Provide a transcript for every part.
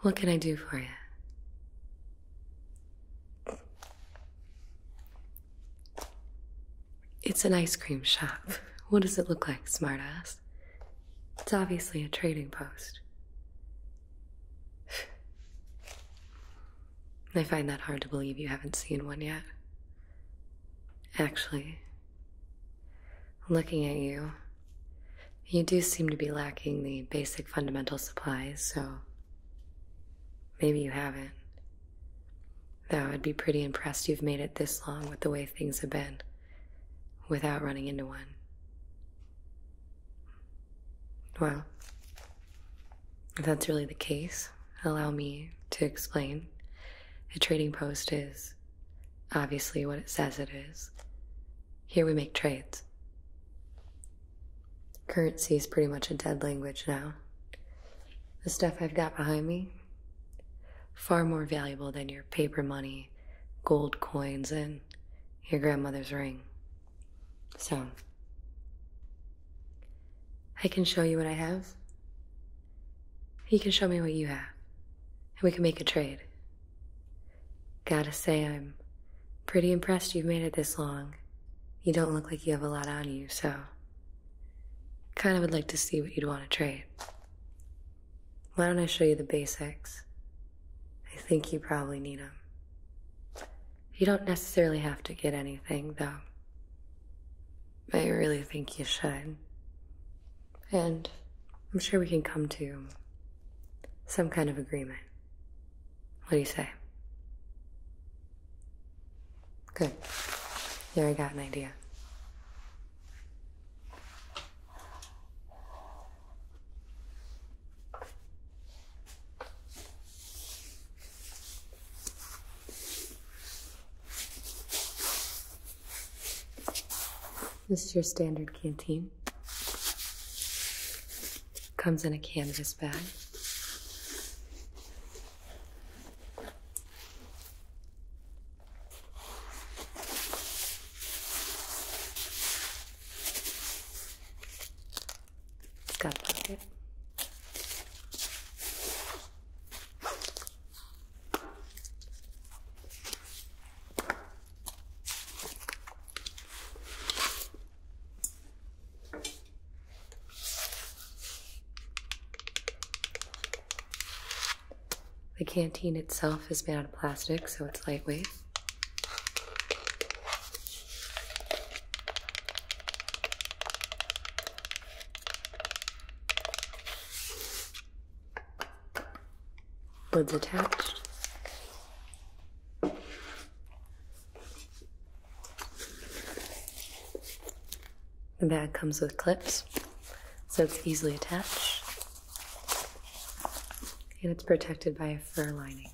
What can I do for you? It's an ice cream shop. What does it look like, smartass? It's obviously a trading post. I find that hard to believe you haven't seen one yet. Actually, looking at you, you do seem to be lacking the basic fundamental supplies, so maybe you haven't. Though I'd be pretty impressed you've made it this long with the way things have been without running into one. Well, if that's really the case, allow me to explain. A trading post is obviously what it says it is. Here we make trades. Currency is pretty much a dead language now. The stuff I've got behind me, far more valuable than your paper money, gold coins, and your grandmother's ring. So, I can show you what I have. You can show me what you have, and we can make a trade. Gotta say, I'm pretty impressed you've made it this long. You don't look like you have a lot on you, so. Kind of would like to see what you'd want to trade. Why don't I show you the basics? I think you probably need them. You don't necessarily have to get anything, though. I really think you should. And I'm sure we can come to some kind of agreement. What do you say? Good. Here I got an idea. This is your standard canteen. Comes in a canvas bag. it pocket. The canteen itself is made out of plastic, so it's lightweight. Lids attached. The bag comes with clips, so it's easily attached, and it's protected by a fur lining.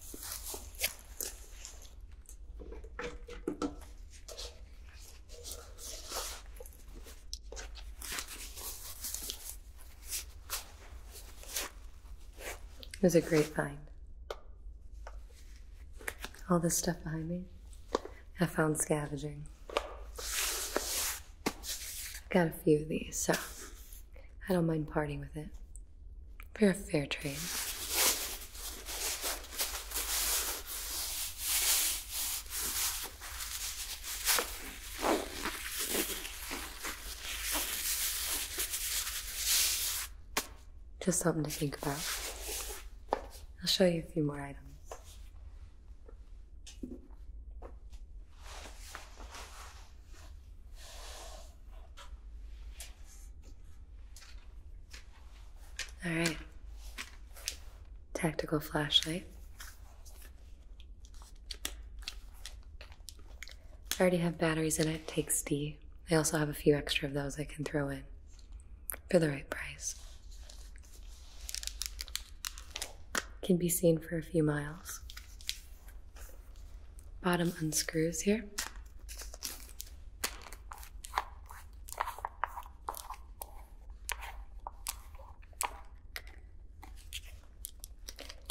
It was a great find. All this stuff behind me, I found scavenging. i got a few of these, so I don't mind parting with it. For fair trade. Just something to think about. I'll show you a few more items. All right. Tactical flashlight. I already have batteries in it, takes D. I also have a few extra of those I can throw in for the right price. Can be seen for a few miles. Bottom unscrews here.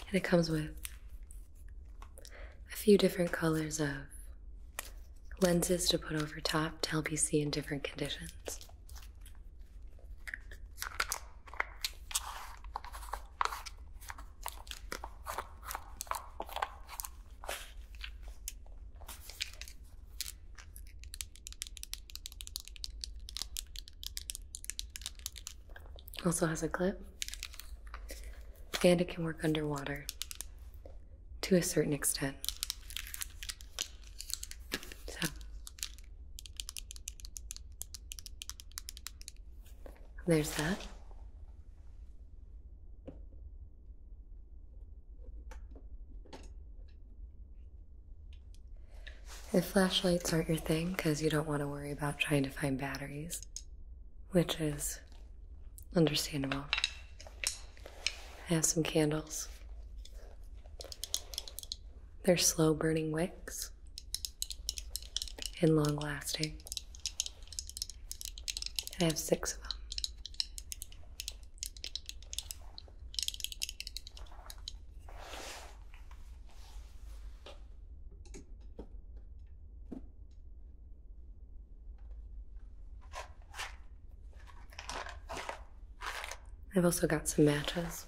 And it comes with a few different colors of lenses to put over top to help you see in different conditions. Also has a clip and it can work underwater to a certain extent. So, there's that. If flashlights aren't your thing because you don't want to worry about trying to find batteries, which is Understandable. I have some candles. They're slow burning wicks and long lasting. I have six of them. I've also got some matches.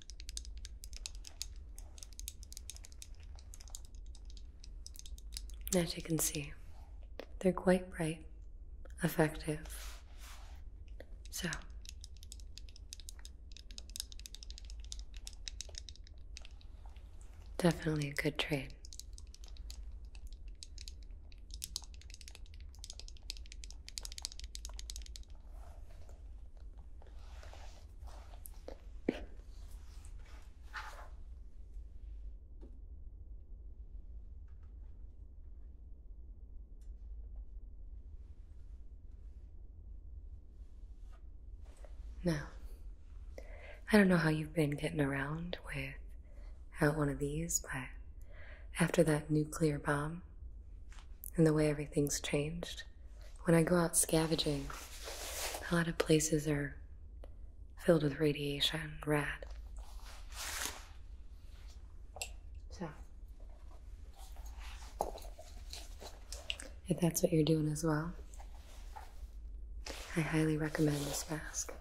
As you can see, they're quite bright, effective. So, definitely a good trade. No. I don't know how you've been getting around without one of these, but after that nuclear bomb and the way everything's changed, when I go out scavenging, a lot of places are filled with radiation, rad. So, if that's what you're doing as well, I highly recommend this mask.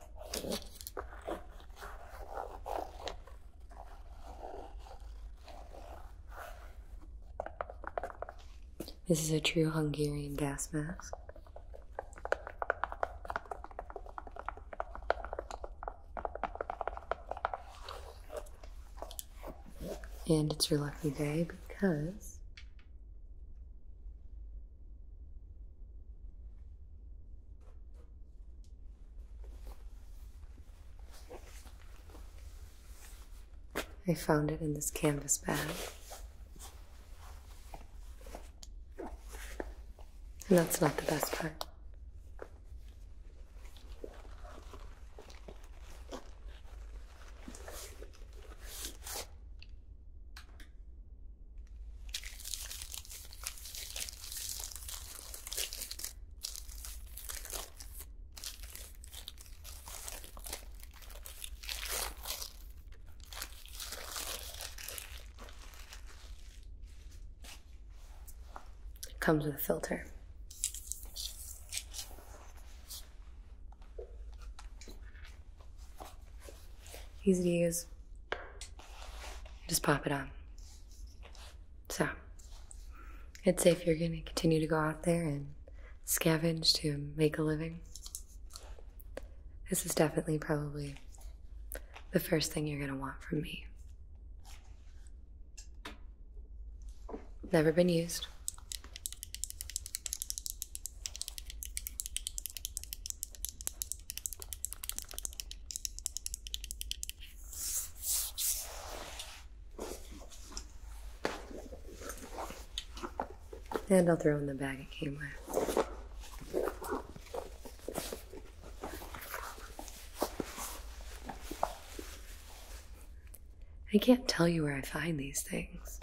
This is a true Hungarian gas mask. And it's your lucky day because I found it in this canvas bag. And that's not the best part. Comes with a filter. Easy to use. Just pop it on. So. It's would if you're going to continue to go out there and scavenge to make a living, this is definitely probably the first thing you're going to want from me. Never been used. And I'll throw in the bag it came with. I can't tell you where I find these things.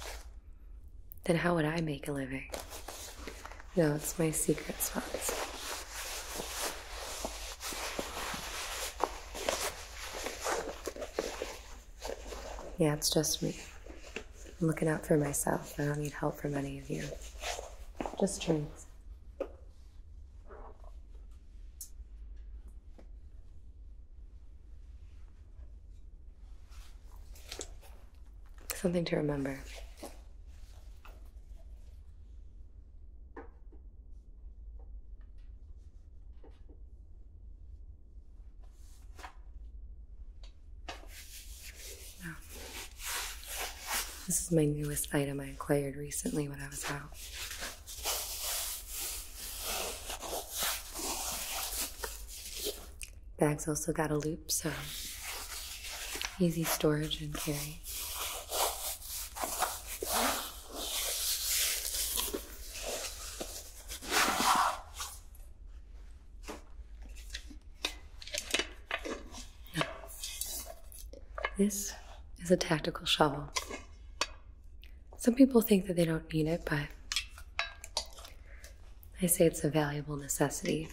Then how would I make a living? No, it's my secret spots. Yeah, it's just me. I'm looking out for myself. I don't need help from any of you. Just drinks. Something to remember this is my newest item I acquired recently when I was out. Bag's also got a loop, so easy storage and carry. This is a tactical shovel. Some people think that they don't need it, but I say it's a valuable necessity.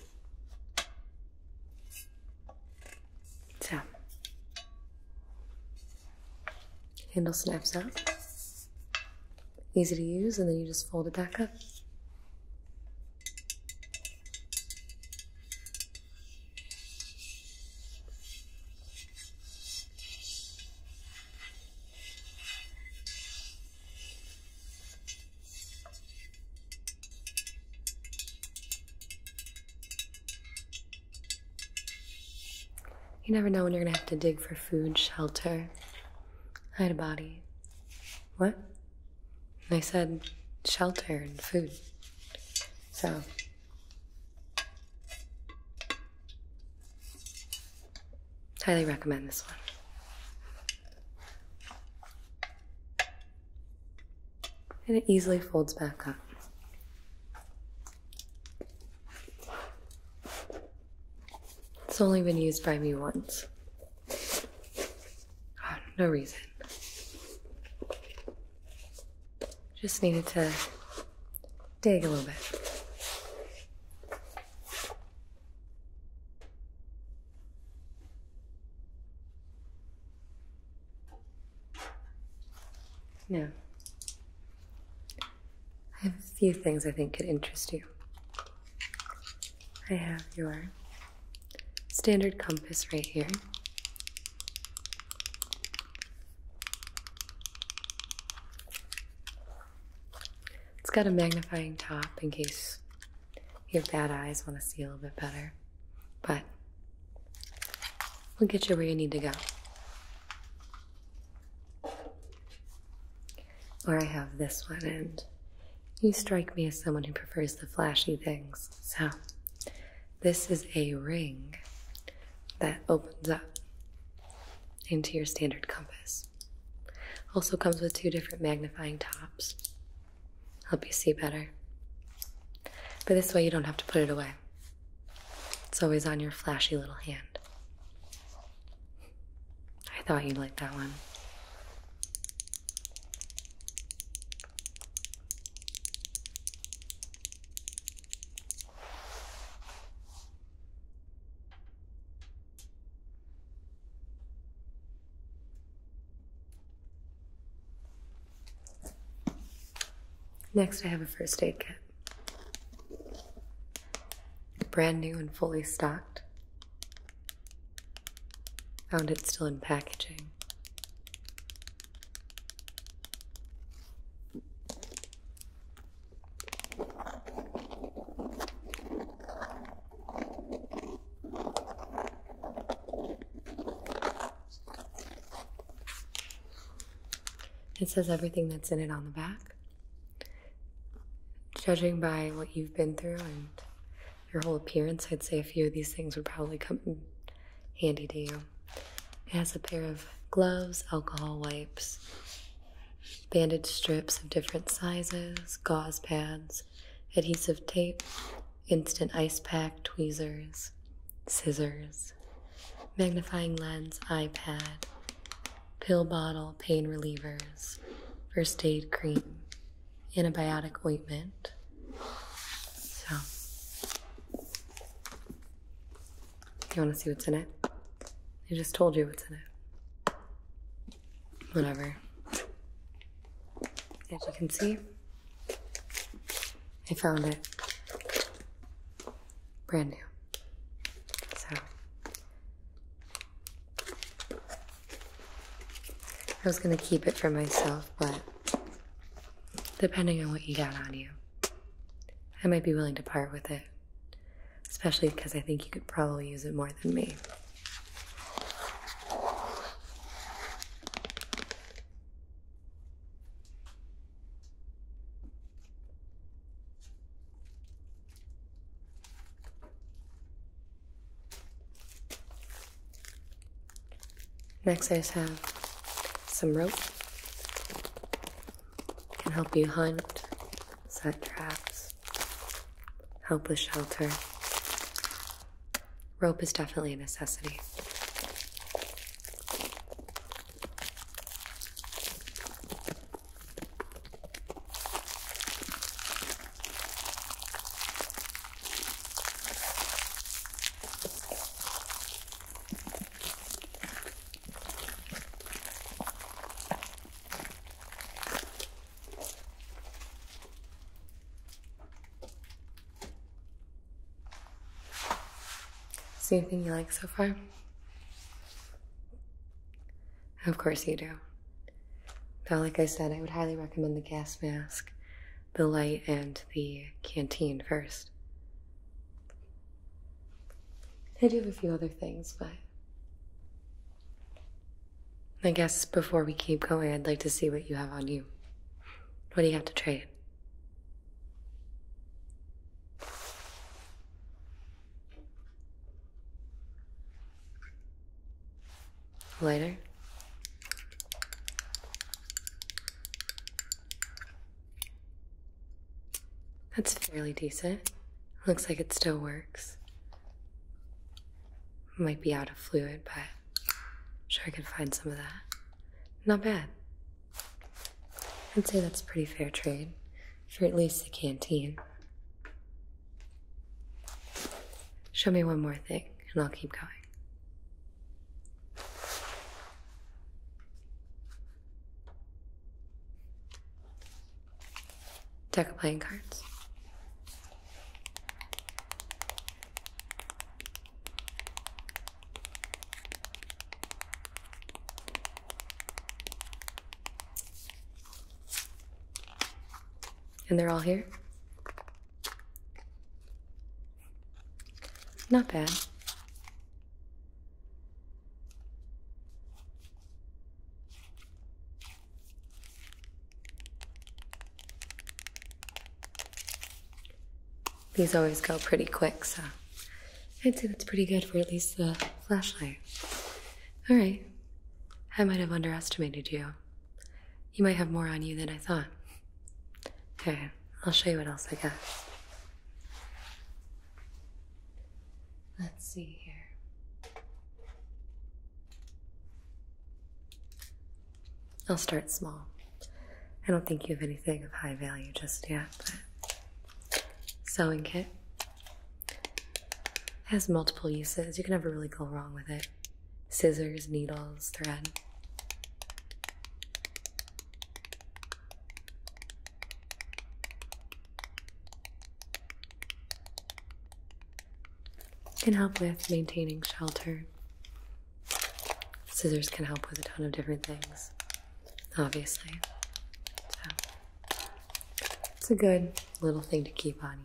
Tap. handle snaps up. Easy to use, and then you just fold it back up. You never know when you're gonna have to dig for food, shelter, hide a body. What? I said shelter and food. So. Highly recommend this one. And it easily folds back up. It's only been used by me once. Ah, no reason. Just needed to dig a little bit. Now. I have a few things I think could interest you. I have your standard compass right here. It's got a magnifying top in case your bad eyes want to see a little bit better, but we'll get you where you need to go. Or I have this one, and you strike me as someone who prefers the flashy things. So, this is a ring that opens up into your standard compass. Also comes with two different magnifying tops. Help you see better. But this way you don't have to put it away. It's always on your flashy little hand. I thought you liked that one. Next, I have a first aid kit. Brand new and fully stocked. Found it still in packaging. It says everything that's in it on the back. Judging by what you've been through and your whole appearance, I'd say a few of these things would probably come handy to you. It has a pair of gloves, alcohol wipes, bandage strips of different sizes, gauze pads, adhesive tape, instant ice pack, tweezers, scissors, magnifying lens, iPad, pill bottle pain relievers, first aid cream, antibiotic ointment. So, you want to see what's in it? I just told you what's in it. Whatever. As you can see, I found it brand new. So, I was gonna keep it for myself, but depending on what you got on you, I might be willing to part with it. Especially because I think you could probably use it more than me. Next, I just have some rope. can help you hunt, set traps, help with shelter. Rope is definitely a necessity. Is anything you like so far? Of course you do. Now, like I said, I would highly recommend the gas mask, the light, and the canteen first. I do have a few other things, but I guess before we keep going, I'd like to see what you have on you. What do you have to trade? Later. That's fairly decent. Looks like it still works. Might be out of fluid, but I'm sure I can find some of that. Not bad. I'd say that's pretty fair trade for at least the canteen. Show me one more thing, and I'll keep going. Deck of playing cards. And they're all here? Not bad. These always go pretty quick, so I'd say that's pretty good for at least the flashlight. All right, I might have underestimated you. You might have more on you than I thought. Okay, I'll show you what else I got. Let's see here. I'll start small. I don't think you have anything of high value just yet, sewing kit. It has multiple uses. You can never really go wrong with it. Scissors, needles, thread. Can help with maintaining shelter. Scissors can help with a ton of different things, obviously. It's a good little thing to keep on you.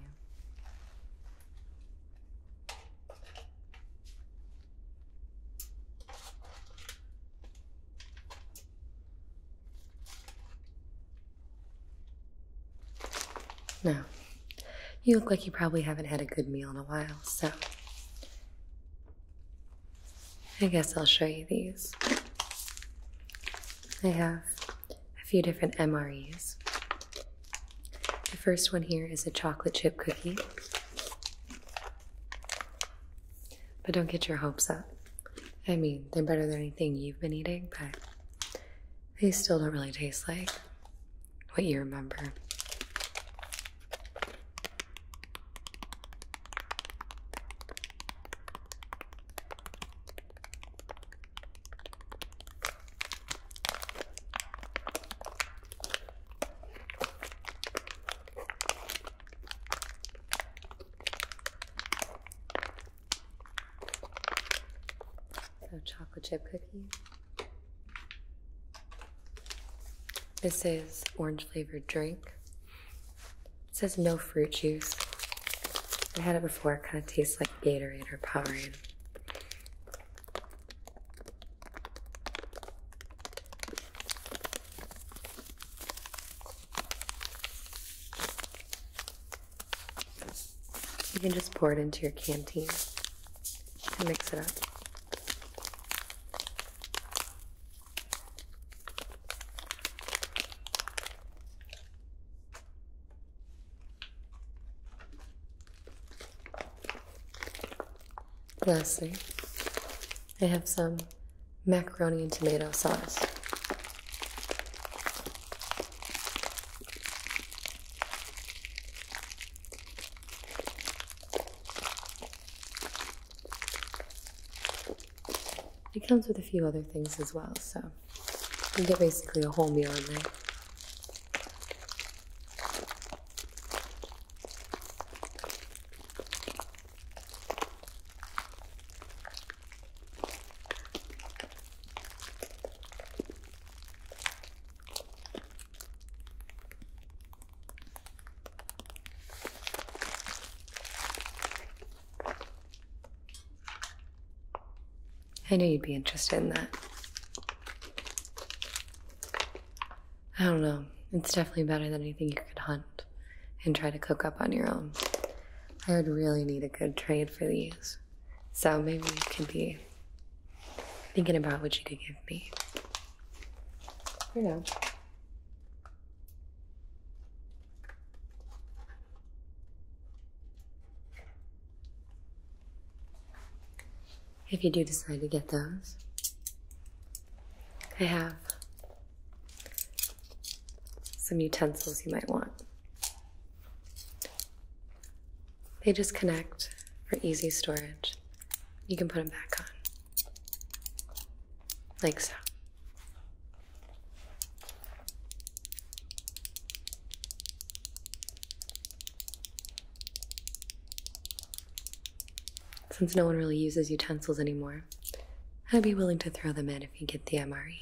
No, you look like you probably haven't had a good meal in a while, so I guess I'll show you these. I have a few different MREs. The first one here is a chocolate chip cookie. But don't get your hopes up. I mean, they're better than anything you've been eating, but they still don't really taste like what you remember. So chocolate chip cookies. This is orange flavored drink. It says no fruit juice. I had it before, it kind of tastes like Gatorade or Powerade. You can just pour it into your canteen and mix it up. Lastly, I have some macaroni and tomato sauce. It comes with a few other things as well, so you get basically a whole meal in there. I knew you'd be interested in that. I don't know. It's definitely better than anything you could hunt and try to cook up on your own. I would really need a good trade for these. So maybe you could be thinking about what you could give me. You know. If you do decide to get those, I have some utensils you might want. They just connect for easy storage. You can put them back on, like so. Since no one really uses utensils anymore, I'd be willing to throw them in if you get the MRE.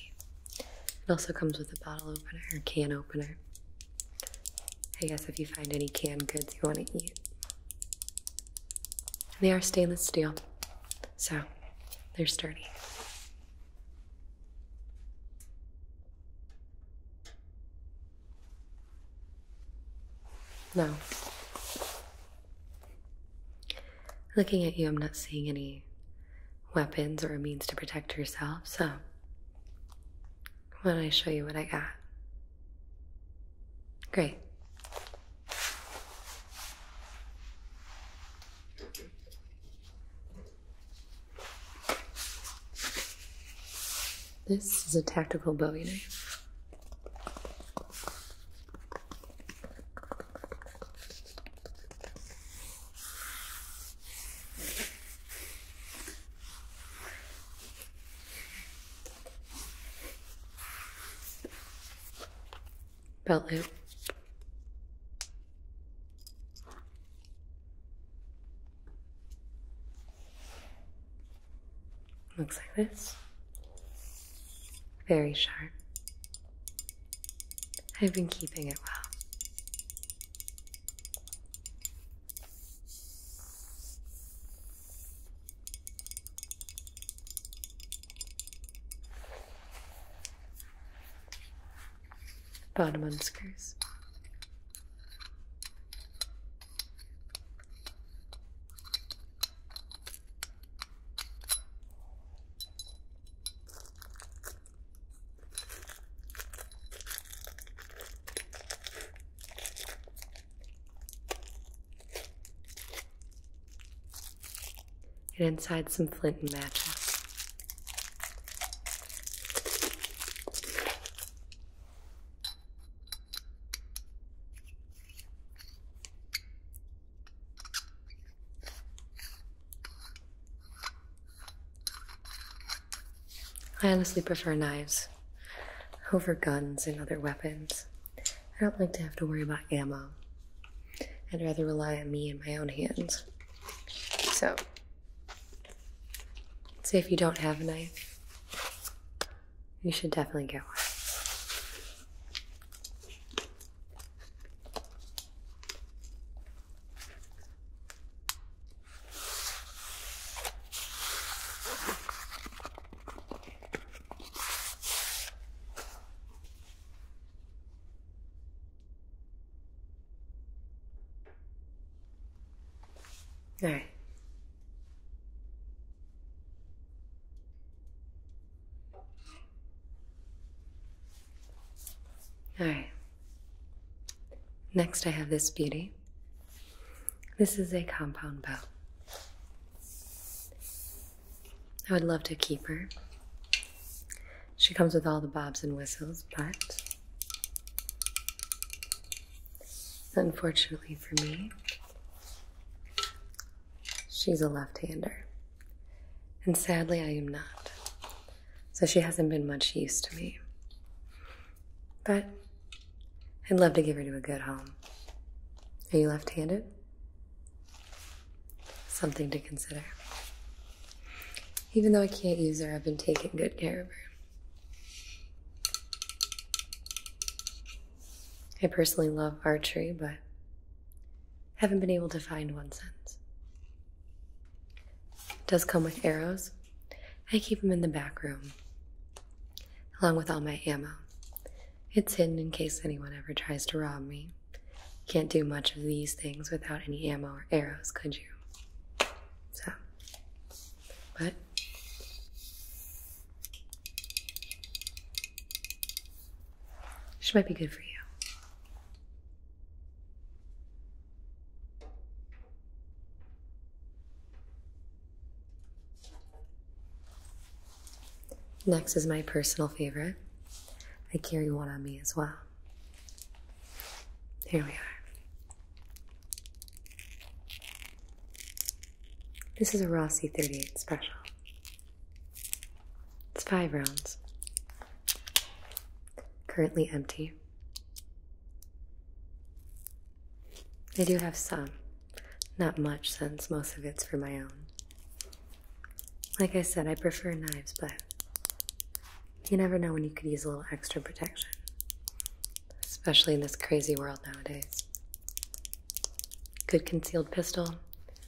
It also comes with a bottle opener or can opener. I guess if you find any canned goods you want to eat. they are stainless steel, so they're sturdy. No. looking at you, I'm not seeing any weapons or a means to protect yourself, so why don't I show you what I got? Great. This is a tactical bowie knife. Belt loop. Looks like this. Very sharp. I've been keeping it well bottom unscrews. And inside some flint and matches. I honestly prefer knives over guns and other weapons. I don't like to have to worry about ammo. I'd rather rely on me and my own hands. So, so if you don't have a knife, you should definitely get one. All right. All right. Next, I have this beauty. This is a compound bow. I would love to keep her. She comes with all the bobs and whistles, but Unfortunately for me, she's a left hander. And sadly, I am not. So she hasn't been much use to me. But I'd love to give her to a good home. Are you left handed? Something to consider. Even though I can't use her, I've been taking good care of her. I personally love archery, but haven't been able to find one since. It does come with arrows. I keep them in the back room, along with all my ammo. It's hidden in case anyone ever tries to rob me. Can't do much of these things without any ammo or arrows, could you? So. But she might be good for you. Next is my personal favorite. I carry one on me as well. Here we are. This is a Rossi 38 special. It's five rounds. Currently empty. I do have some. Not much, since most of it's for my own. Like I said, I prefer knives, but you never know when you could use a little extra protection, especially in this crazy world nowadays. Good concealed pistol,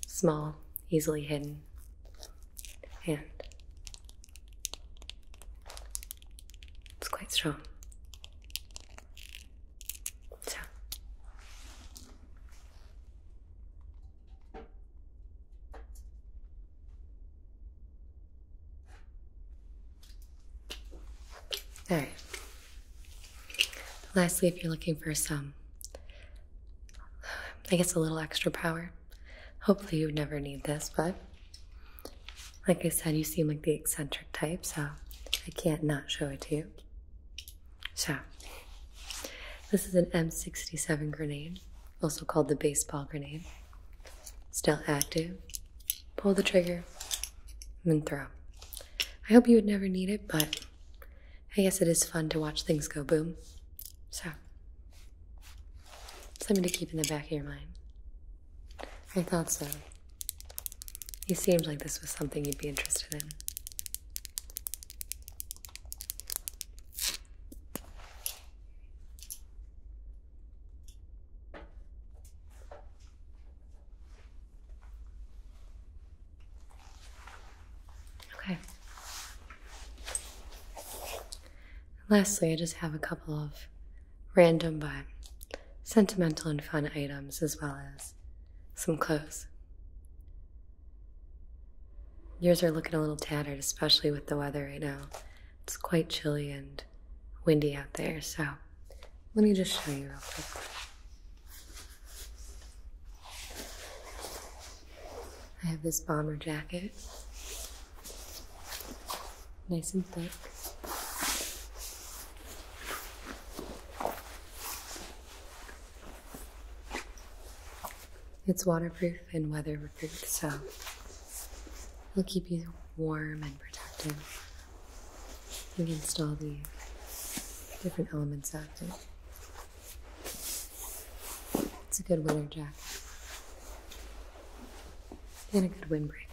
small, easily hidden, and it's quite strong. So, all right. Lastly, if you're looking for some, I guess a little extra power, hopefully you would never need this, but like I said, you seem like the eccentric type, so I can't not show it to you. So, this is an M67 grenade, also called the baseball grenade. Still active. Pull the trigger and throw. I hope you would never need it, but I guess it is fun to watch things go boom. So, something to keep in the back of your mind. I thought so. You seemed like this was something you'd be interested in. Okay. Lastly, I just have a couple of random but sentimental and fun items as well as some clothes. Yours are looking a little tattered, especially with the weather right now. It's quite chilly and windy out there, so let me just show you real quick. I have this bomber jacket, nice and thick. It's waterproof and weatherproof, so It'll keep you warm and protected against all the different elements out there. It's a good winter jacket and a good windbreaker.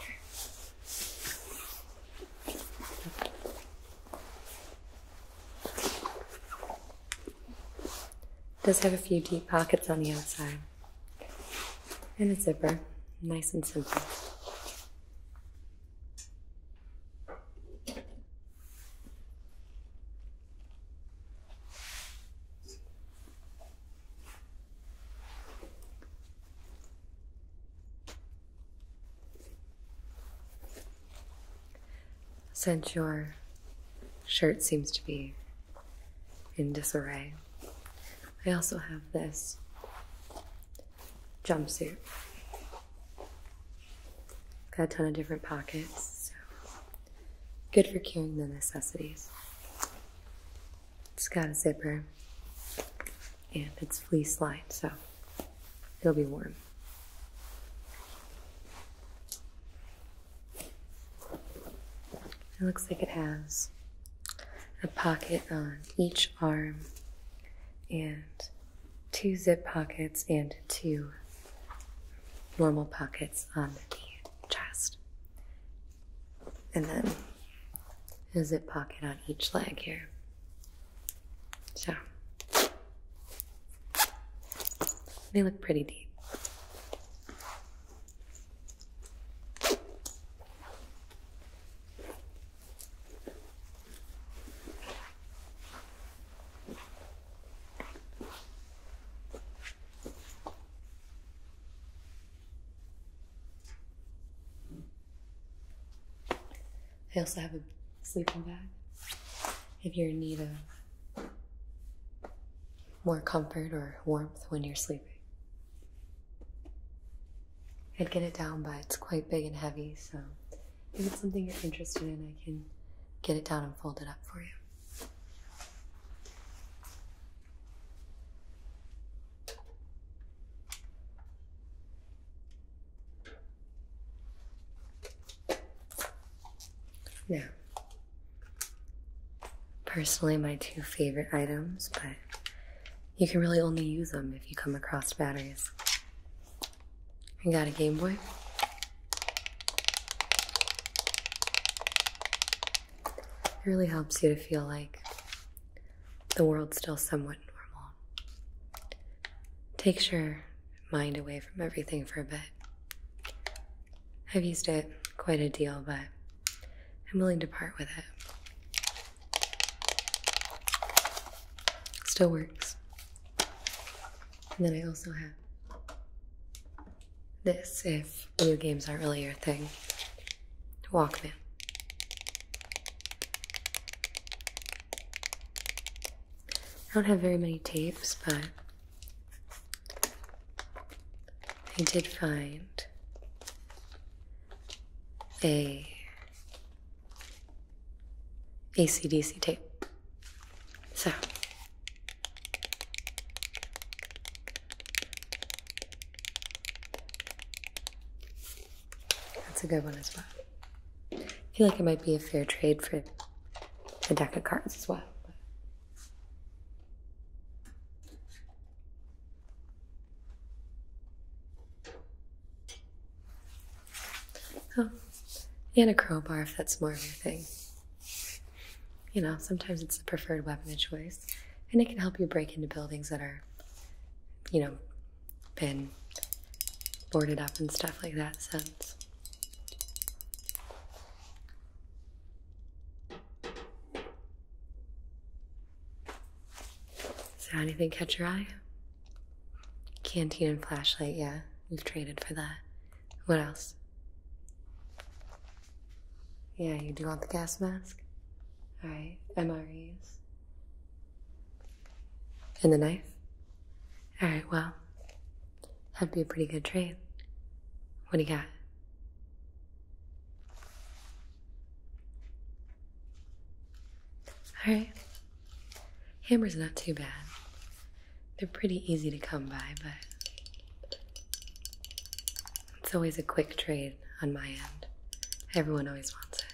does have a few deep pockets on the outside and a zipper. Nice and simple. Since your shirt seems to be in disarray, I also have this jumpsuit. got a ton of different pockets, so good for carrying the necessities. It's got a zipper and it's fleece lined, so it'll be warm. It looks like it has a pocket on each arm and two zip pockets and two normal pockets on the chest. And then a zip pocket on each leg here. So they look pretty deep. I also have a sleeping bag if you're in need of more comfort or warmth when you're sleeping. I'd get it down, but it's quite big and heavy, so if it's something you're interested in, I can get it down and fold it up for you. Now, personally, my two favorite items, but you can really only use them if you come across batteries. You got a Game Boy. It really helps you to feel like the world's still somewhat normal. Takes your mind away from everything for a bit. I've used it quite a deal, but I'm willing to part with it. Still works. And then I also have this, if video games aren't really your thing. Walkman. I don't have very many tapes, but I did find a ACDC tape. So that's a good one as well. I feel like it might be a fair trade for a deck of cards as well. Oh, and a crowbar if that's more of your thing. You know, sometimes it's the preferred weapon of choice, and it can help you break into buildings that are, you know, been boarded up and stuff like that since. Does there anything catch your eye? Canteen and flashlight, yeah. We've traded for that. What else? Yeah, you do want the gas mask? Alright, MREs. And the knife? Alright, well, that'd be a pretty good trade. What do you got? Alright. Hammer's not too bad. They're pretty easy to come by, but it's always a quick trade on my end. Everyone always wants it.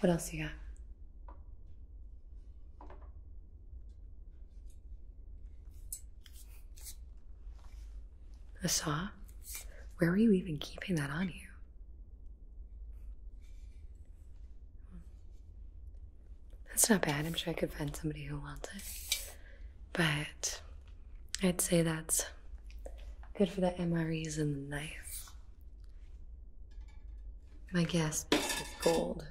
What else you got? A saw? Where were you even keeping that on you? That's not bad. I'm sure I could find somebody who wants it. But I'd say that's good for the MREs and the knife. My gas is gold.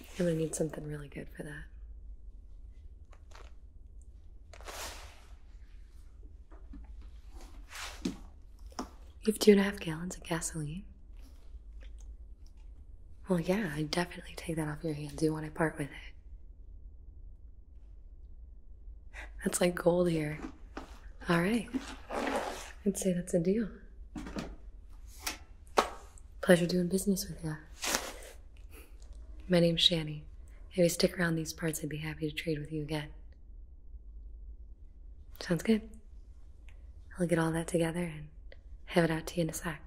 I'm gonna need something really good for that. You have two and a half gallons of gasoline? Well, yeah, I definitely take that off your hands. Do You want to part with it. That's like gold here. All right. I'd say that's a deal. Pleasure doing business with you. My name's Shanny. If we stick around these parts, I'd be happy to trade with you again. Sounds good. I'll get all that together and have it out to you in a sec.